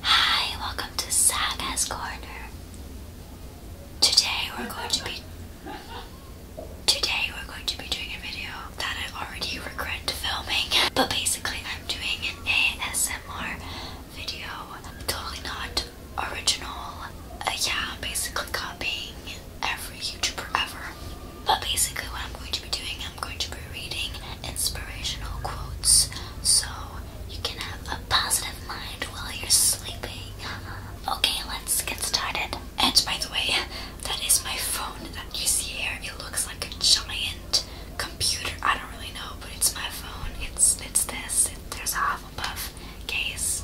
Hi, welcome to Saga's Corner. Today we're going to be Today we're going to be doing a video that I already regret filming, but basically I'm doing an ASMR video. Totally not original. Uh, yeah, basically copying every YouTuber ever. But basically, what I'm going to be doing, I'm going to be reading inspirational quotes so you can have a positive mind while you're sleeping. Okay, let's get started. And by the way, that is my phone that you see here. It looks like a giant computer. I don't really know, but it's my phone. It's it's this. there's a Hufflepuff case.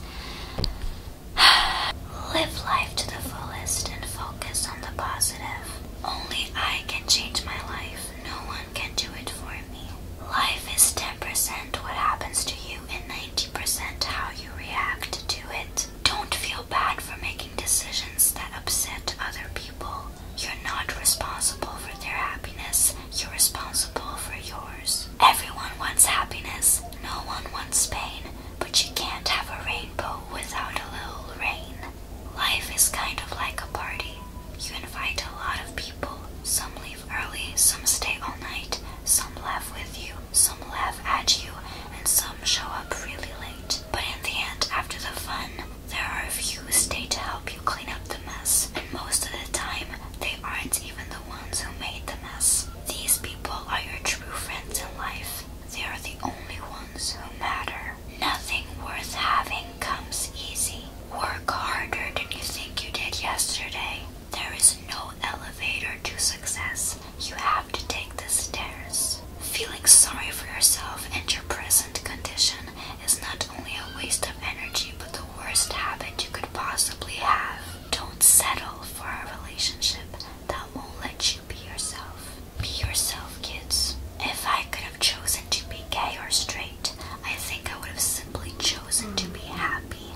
Live life to the fullest and focus on the positive. Only I can change my life. No one can do it for me. Life is 10% what happens to you and 90% how you react to it. Don't feel bad for making decisions that upset other people. You're not responsible for their happiness, you're responsible for yours. Everyone wants happiness. No one wants pain. But you can't have a rainbow without a little rain. Life is kind of like a party. You invite a lot of people. Some leave early, some stay all night, some laugh with you, some laugh at you, and some show up really late. But in the end, after the fun, there are a few who stay to help you you clean up the mess, and most of the time, they aren't even the ones who made the mess. These people are your true friends in life. They are the only ones who matter. Nothing worth having comes easy. Work harder than you think you did yesterday. There is no elevator to success. You have to take the stairs. Feeling sorry for yourself and your present condition is not only a waste of energy but the worst habit you could possibly have. Don't settle for a relationship that won't let you be yourself. Be yourself, kids. If I could have chosen to be gay or straight, I think I would have simply chosen to be happy.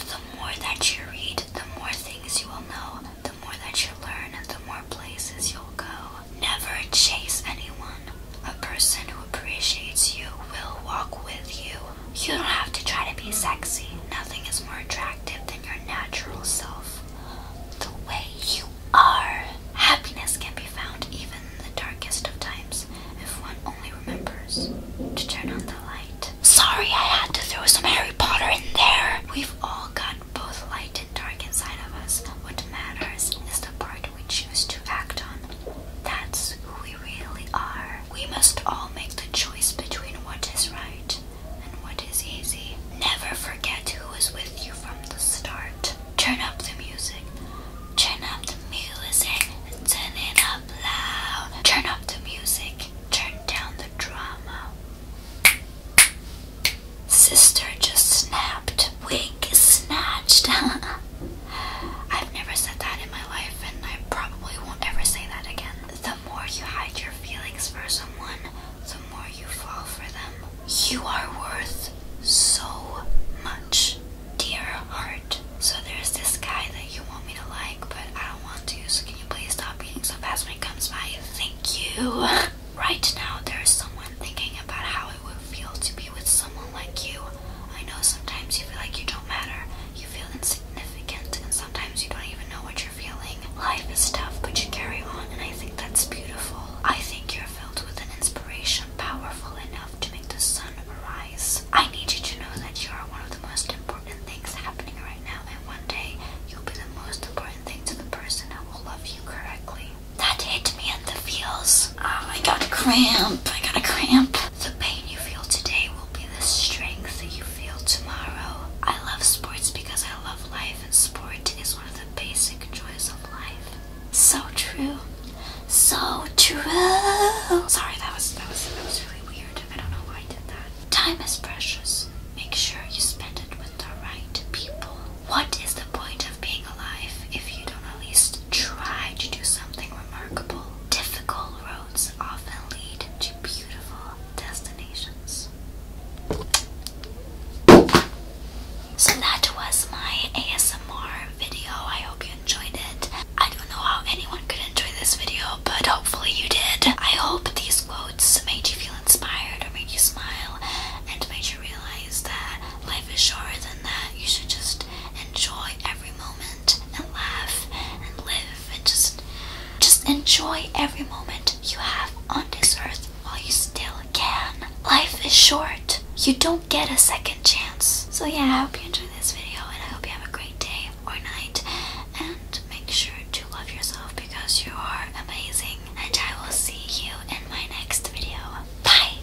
The more that you read, the more things you will know the more that you learn, the more places you'll go. Never chase anyone. A person who appreciates you will walk with you. You don't have to try to be sexy. Nothing is more attractive than your natural self. The way you are. Happiness can be found even in the darkest of times if one only remembers to turn on the light. Sorry, I had to throw some Harry Potter in there. We've all got both light and dark inside of us. What matters is the part we choose to act on. That's who we really are. We must all make the choice between what is right and what is easy. Never forget who was with you from the start. Turn up the music. Turn up the music. Turn it up loud. Turn up the music. Turn down the drama. Sister just snapped. Wig snatched. I've never said that in my life, and I probably won't ever say that again. The more you hide your feelings for someone, the more you fall for them. You are worth so much dear heart. So there's this guy that you want me to like, but I don't want to. So can you please stop eating so fast when it comes by? Thank you. Right now, there's someone thinking about how it would feel to be with someone like you. I know sometimes you feel like you don't matter, you feel insignificant, and sometimes you don't even know what you're feeling. Life is tough, but you carry on, and I think that's beautiful. I think you're filled with an inspiration powerful enough to make the sun arise. I need you to know that you are one of the most important things happening right now, and one day you'll be the most important thing to the person that will love you correctly. That hit me in the feels. Oh, I got a cramp. I got a cramp. The pain you feel today will be the strength that you feel tomorrow. I love sports because I love life, and sport is one of the basic joys of life. So true. So true. Sorry, that was that was that was really weird. I don't know why I did that. Time is precious. Make sure you spend it with the right people. What is the point of being alive if you don't at least try to do something remarkable? Difficult roads often lead to beautiful destinations. So that was my ASMR video. I hope you enjoyed it. I don't know how anyone could enjoy this video, but hopefully you did. I hope these quotes made you feel inspired or made you smile and made you realize that life is shorter than that you should just enjoy every moment and laugh and live and just just enjoy every moment you have on this earth while you still can. Life is short. You don't get a second chance. So yeah, I hope you enjoyed this video and I hope you have a great day or night. And make sure to love yourself because you are amazing. And I will see you in my next video. Bye!